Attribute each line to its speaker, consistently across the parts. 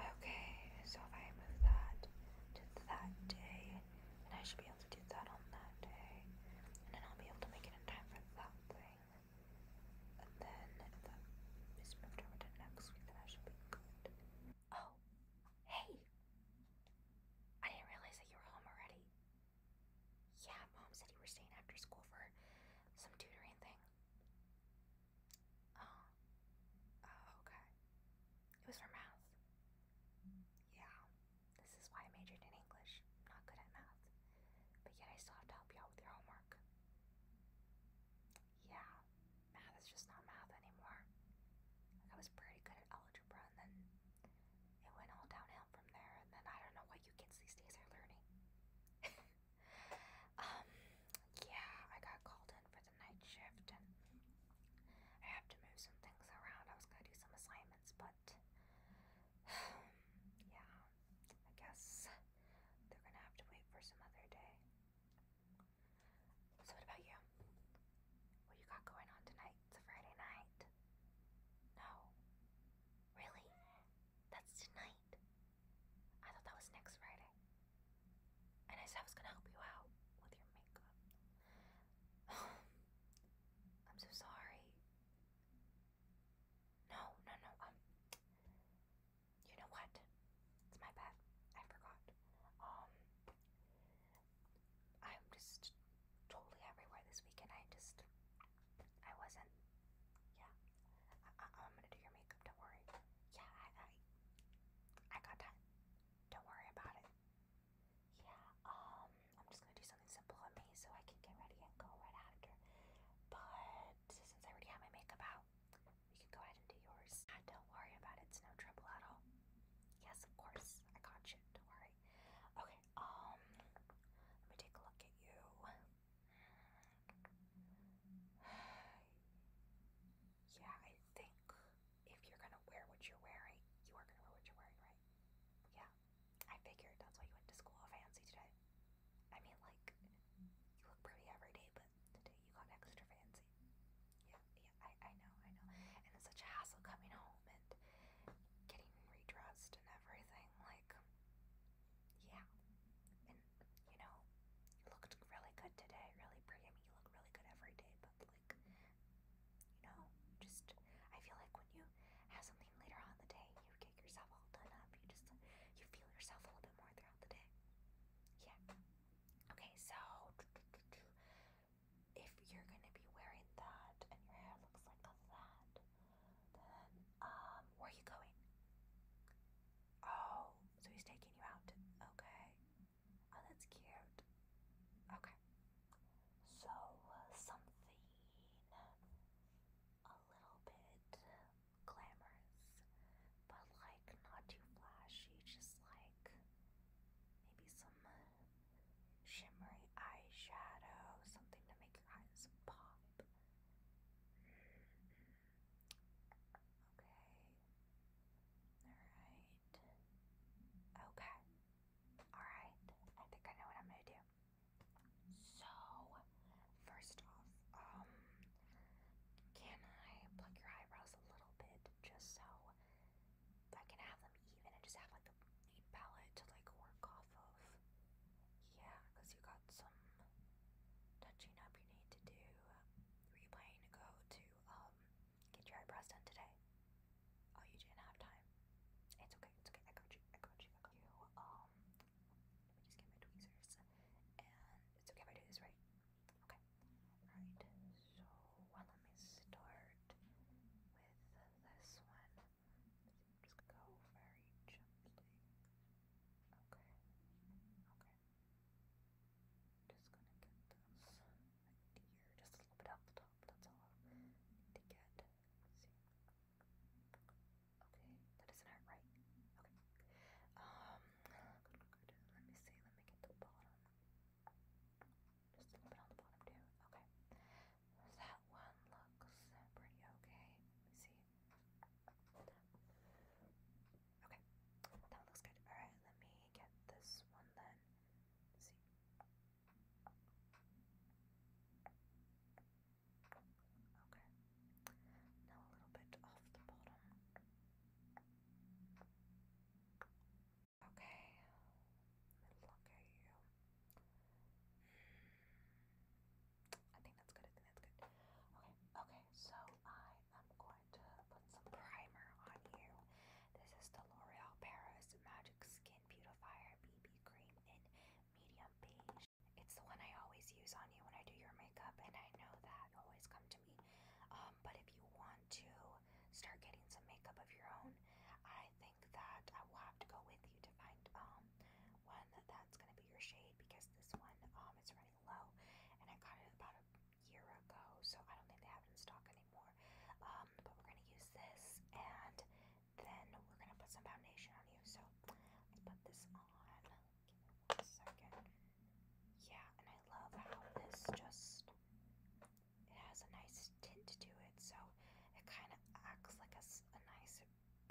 Speaker 1: Okay, so if I move that to that day, and I should be able to do that on that day, and then I'll be able to make it in time for that thing. And then if that is moved over to next week, then I should be good. Oh, hey! I didn't realize that you were home already. Yeah, mom said you were staying after school for some tutoring thing. Oh. Oh, okay. It was for math. Yeah. This is why I majored in English. not good at math. But yet I still have to help you with your homework. Yeah. Math is just not math anymore. I was pretty good at algebra and then it went all downhill from there and then I don't know what you kids these days are learning. Um, yeah, I got called in for the night shift and I have to move some things around. I was gonna do some assignments, but yeah, I guess they're gonna have to wait for some other day. So, what about you? What you got going on tonight? It's a Friday night. No. Really? That's tonight. I thought that was next Friday. And I said I was gonna help you out with your makeup. I'm so sorry. No, no, no. Um, you know what? It's my bad. I forgot. Um, I'm just totally everywhere this weekend. I just I wasn't. Yeah, I, am gonna do your makeup. Don't worry. Yeah, I, I, got time. Don't worry about it. Yeah. Um, I'm just gonna do something simple on me so I can get ready and go right after. But since I already have my makeup out, we can go ahead and do yours. Ah, don't worry about it. It's no trouble at all. Yes, of course. I got you. Don't worry. Okay. Um, let me take a look at you. yeah, I think if you're gonna wear what you're wearing, you are gonna wear what you're wearing, right? Yeah, I figured that's why you went to school all fancy today. I mean, like, you look pretty every day, but today you got extra fancy. Yeah, yeah, I, I know, I know. And it's such a hassle coming home and getting redressed and everything. Like, yeah. And you know, looked really good today, really pretty. I mean, you look really good every day, but like, you know, just I feel like when you have something later on the day, you get yourself all done up. You just you feel yourself a little bit more throughout the day. Yeah. Okay, so if you're gonna be wearing that and your hair looks like that, um, where are you going? Oh, so he's taking you out. Okay. Oh, that's cute. Okay. So, uh, something a little bit glamorous, but like not too flashy, just like maybe some uh, shimmery eyeshadow, something to make your eyes pop. Okay. Alright. Okay. Alright. I think I know what I'm gonna do. So, first off, um, can I pluck your eyebrows a little bit just so I can have them even and just have like the palette to like work off of? Yeah, because you got some touching up you need to do. Were you planning to go to um, get your eyebrows done today? Oh, you didn't have time. It's okay, it's okay. I got you, I got you, you. Um, let me just get my tweezers. And it's okay if I do this right. Okay. Alright, so well, let me start with this one. Just go very gently. Okay. Okay. Just gonna get this here, just a little bit off the top, that's all need to get. Let's see. isn't hurt, right? Okay. Um, Let me see, let me get the bottom. Just a little bit on the bottom, too. Okay. That one looks pretty okay. see. Okay, that looks good. Alright, let me get this one then. see. Okay, now a little bit off the bottom. Okay, look at you. I think that's good. I think that's good. Okay, okay, so I am going to put some primer on you. This is the L'Oreal Paris Magic Skin Beautifier BB Cream in Medium Beige. It's the one I always use on you when I do your makeup, and I know that always come to me. Um, but if you want to start getting some makeup of your own, I think that I will have to go with you to find um, one that's going to be your shade because this one um, is running low and I got it about a year ago so I don't think they have it in stock anymore um, but we're going to use this and then we're going to put some foundation on you so let's put this on give me one second yeah and I love how this just it has a nice tint to it so it kind of acts like a, a nice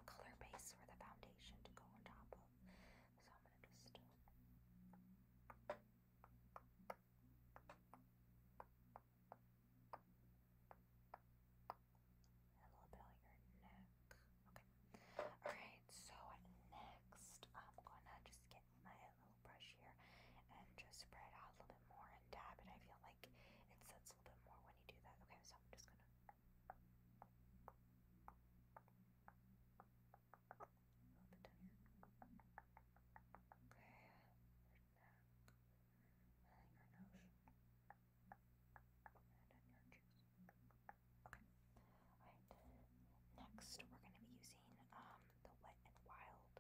Speaker 1: color base for the foundation to go on top of. So I'm gonna just uh, a little bit on your neck. Okay. Alright, so next I'm gonna just get my little brush here and just spread out a little bit more and dab it. I feel like it sets a little bit more when you do that. Okay, so I'm just gonna Okay, your nose. And then your cheeks. Alright. Next, we're going to be using um, the Wet and Wild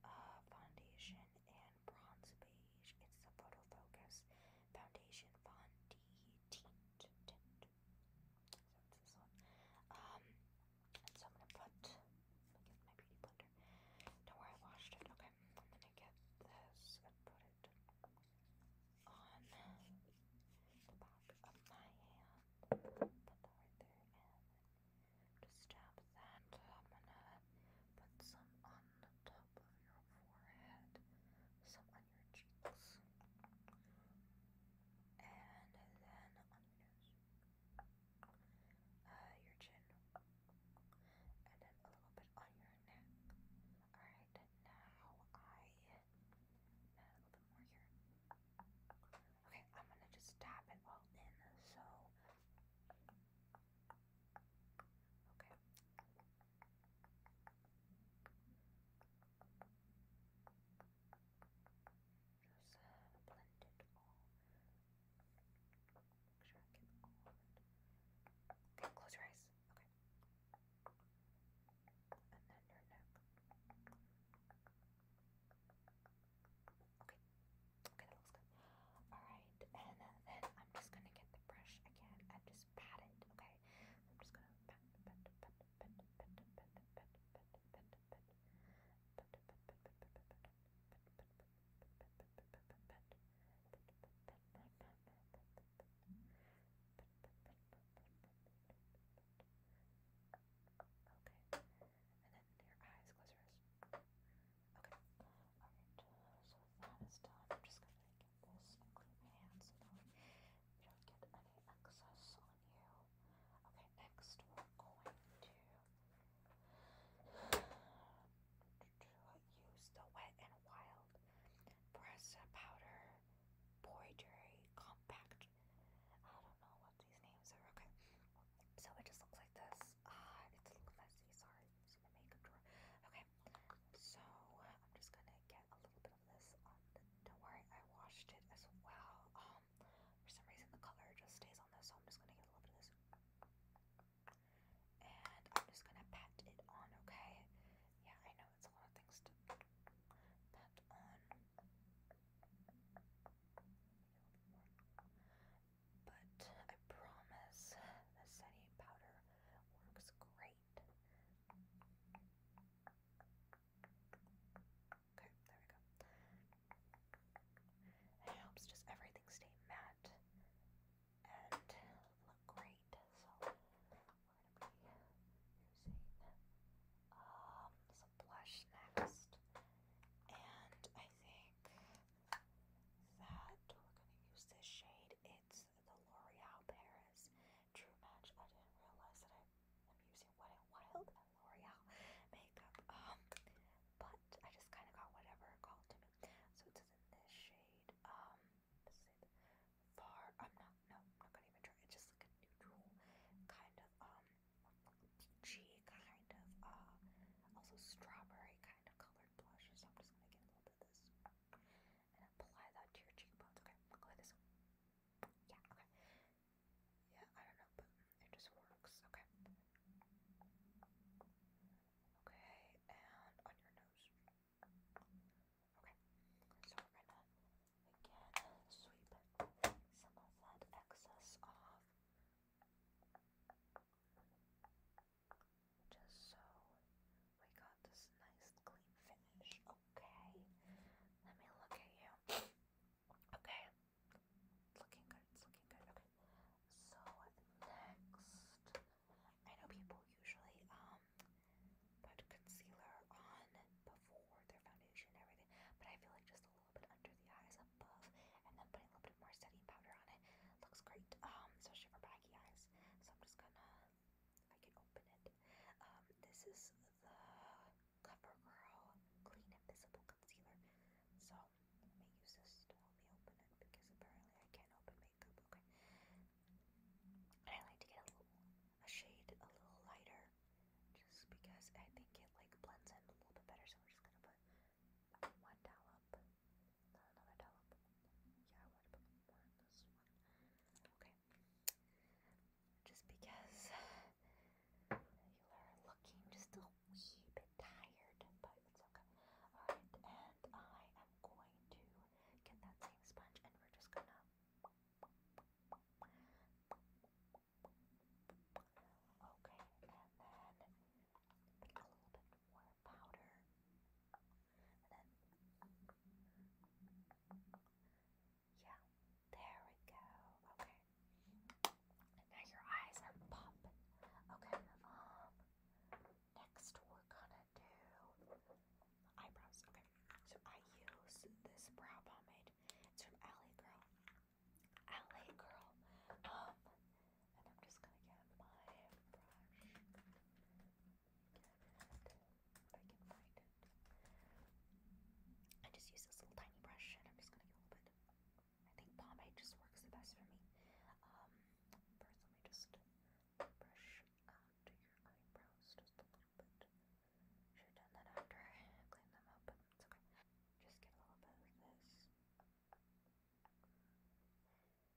Speaker 1: uh, foundation and bronze beige. It's the Photo Focus Foundation Von D Tint. tint. So this one. so I'm gonna put. my beauty blender. Don't I washed it. Okay, I'm gonna get this and put it on the back of my hand. Put that right there, and just stab that. I'm gonna put some on the top of your forehead, some on your cheeks, and then on your uh, your chin, and then a little bit on your neck. Alright, now I little bit more here. Okay, I'm gonna just tap it all in so. Okay. Just uh, blend it all. Make sure I get all Okay, close your eyes. Okay. Okay. Okay, Alright, and then I'm just gonna get the brush again and just okay? I'm just gonna Okay, and then your eyes, close your eyes. Okay, so that is done. I'm just gonna this clean my hands so you don't get any excess on you. Okay, next we're going to, use the Wet and Wild Pressa Powder Poidery Compact. I don't know what these names are. Okay, so it just looks like this. Ah, it's a little messy, sorry it's in makeup drawer. Okay, so I'm just gonna get a little bit of this Don't worry, I washed it as well. Um, for some reason the color just stays on this, so I'm just gonna get a little bit of this, and I'm just gonna pat it on. Okay, yeah, I know it's a lot of things to pat on. But I promise the setting powder works great. Okay, there we go. helps just everything stay matte and look great. So we're gonna be using um, some blush next. And I think that we're gonna use this shade. It's the L'Oreal Paris True Match. I didn't realize that I am using Wet n Wild and L'Oreal makeup, um, but I just kind of got whatever called to me. So it's in this shade, um, far? I'm not, no, I'm not gonna even try. It's just like a neutral kind of, um, peachy kind of, uh, also strawberry kind of colored blush. So I'm just gonna get a little and apply that to your cheekbones. Okay, go this. Yeah, okay. Yeah, I don't know, but it just works. Okay. Okay, and on your nose. Okay, so we're gonna again sweep some of that excess off just so we got this nice clean finish. Okay, let me look at you. Okay, looking good, it's looking good. Okay, so next, I know people usually um put concealer on before their foundation and everything, but I feel like just a little bit under the eyes above and then putting a little bit more setting powder on it looks great, um, especially for baggy eyes. So I'm just gonna I can open it. Um, this is the CoverGirl Clean Invisible Concealer. So let use this to help me open it because apparently I can't open makeup. Okay. I like to get a shade a little lighter just because I think it like blends in a little bit better. So we're just gonna put one dollop another Just because you are looking just a wee bit tired, but it's okay. and I am going to get that same sponge and we're just gonna. Okay, and then a little bit more powder yeah, there we go. Okay, now your eyes are popping. Okay, um, next we're gonna do eyebrows. Okay, so I use this brow pomade. It's from Alley Girl. Alley Girl. Um, and I'm just gonna get my brush if I just use this little tiny brush and I'm just gonna get a little I think pomade just works the best for me. Um, first let me just brush out your eyebrows just a little bit. Should done that after I cleaned them up, Just get a little bit of this.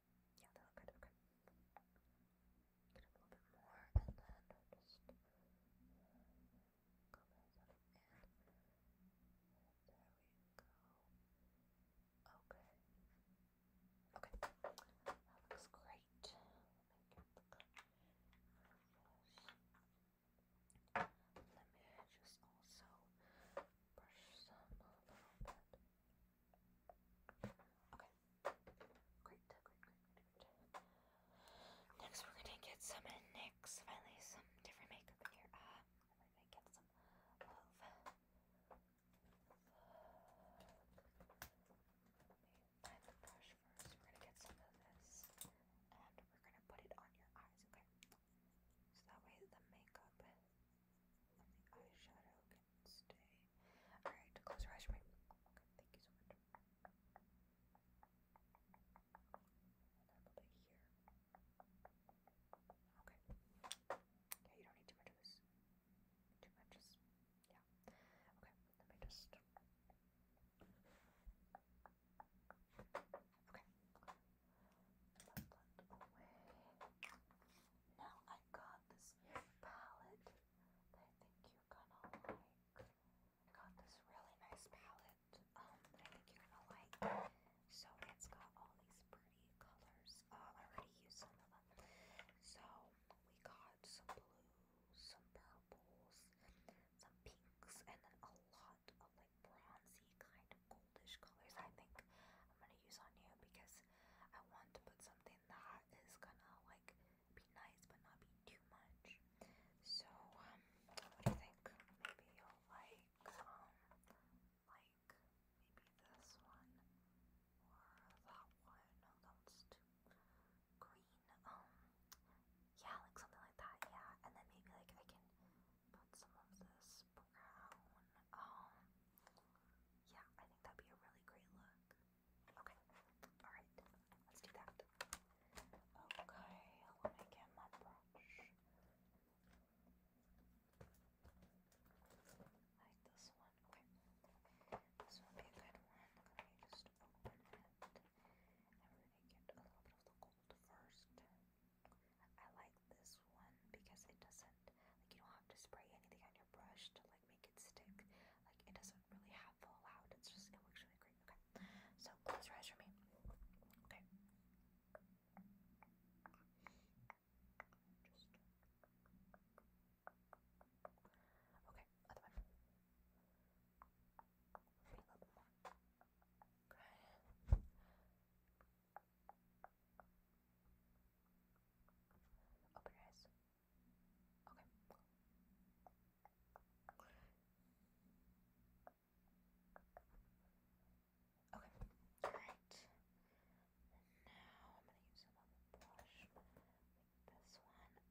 Speaker 1: yeah, they okay. Get a little bit more and then just uh, cover that in. There we go. Okay. Okay. That looks great. Let me just also brush some a little bit. Okay. Great, great, great, great, Next, we're gonna get some NYX. Finally, some different makeup in here. uh, I'm gonna get some love. Find the brush first. We're gonna get some of this, and we're gonna put it on your eyes. Okay. So that way, the makeup and the eyeshadow Wednesday. Alright, close your eyes for me. Okay, here. Okay. Yeah, you don't need too much of this. Too much yeah. Okay, let me just. Okay. Now I got this palette I think you're gonna like. I got this really nice palette um, I think you're gonna like. So it's got all these pretty colors. Uh, I already used some of them. So we got some blues, some purples, some pinks, and then a lot of like bronzy kind of goldish colors. I think I'm gonna use on you because I want to put something that is gonna like be nice but not be too much. So, um, what do you think? Maybe you'll like, um, like maybe this one or that one. No, that green. Um, yeah, like something like that. Yeah, and then maybe like I can put some of this brown. Um, yeah, I think that'd be a really great look. Okay, alright, let's do that. Okay, let me get my brush. like this one. Okay. This would be a good one. Let me just open it. I'm gonna get a little bit of the gold first. I like this one because it doesn't like you don't have to spray anything on your brush to like make it stick. Like it doesn't really have full out. It's just it works really great. Okay, so close your eyes for me. Okay. okay. Other one. Okay. Open your eyes. Okay. Okay. Alright. Now I'm gonna use another brush this one. Um for the brown. Okay. And just gonna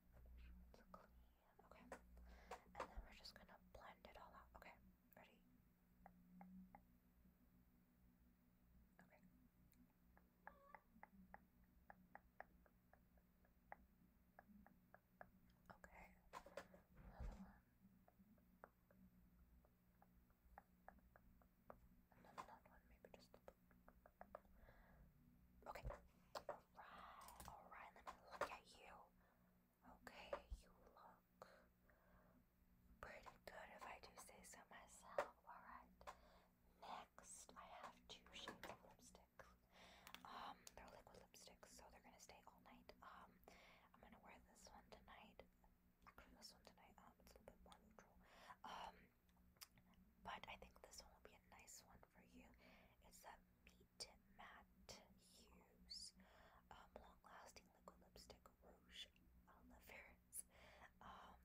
Speaker 1: Okay. And then we're just gonna blend it all out. Okay. Ready? Okay. Another one. And one, maybe just Okay. Alright, alright, let me look at you. Okay, you look pretty good if I do say so myself. Alright. Next, I have two shades of lipstick. Um, they're liquid lipsticks, so they're gonna stay all night. Um, I'm gonna wear this one tonight. this one tonight. Um, it's a little bit more neutral. Um, but I think this one will be a nice one for you. It's that Meat Matte Hues um, Long Lasting Liquid Lipstick Rouge on Um,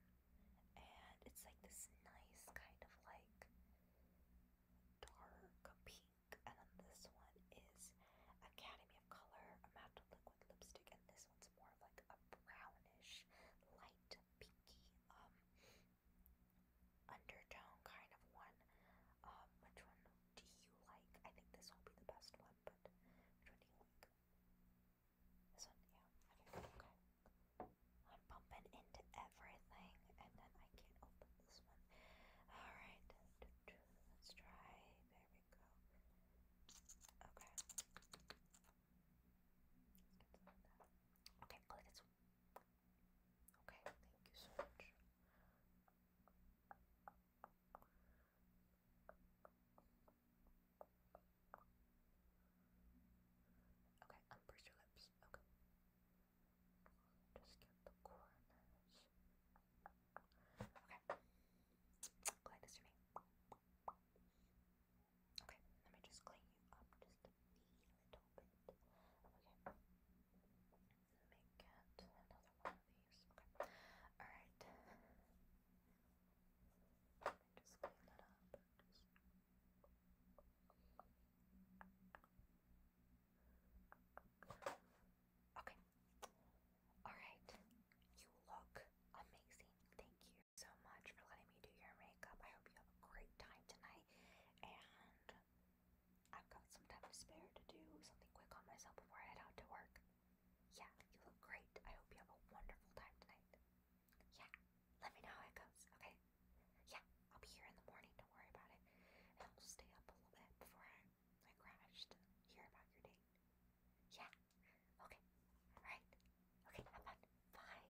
Speaker 1: and it's like this nice kind of like dark pink. And then this one is Academy of Color, matte liquid lipstick. And this one's more like a brownish, light pinky um, undertone kind of one. Um, which one do you like? I think this will be the best one, but which one do you like? This one, yeah. Okay, okay. I'm bumping into everything, and then I can't open this one. All right, let's try. There we go. Okay. Okay, look, it's Okay, thank you so much. Okay, unburst your lips. Okay. Just get the corners. Okay. Glad to see me. Okay, let me just clean you up just a little bit. Okay. Let me another one of these. Okay. Alright. Let me just clean that up. Okay. Alright. You look amazing. Thank you you so much for letting me do your makeup. I hope you have a great time tonight. And I've got some time to spare to do something quick on myself before I head out to work. Yeah, you look great. I hope you have a wonderful time tonight. Yeah, let me know how it goes, okay? Yeah, I'll be here in the morning. Don't worry about it. And I'll stay up a little bit before I, I crash hear about your date. Yeah, okay. Alright. Okay, I'm Bye.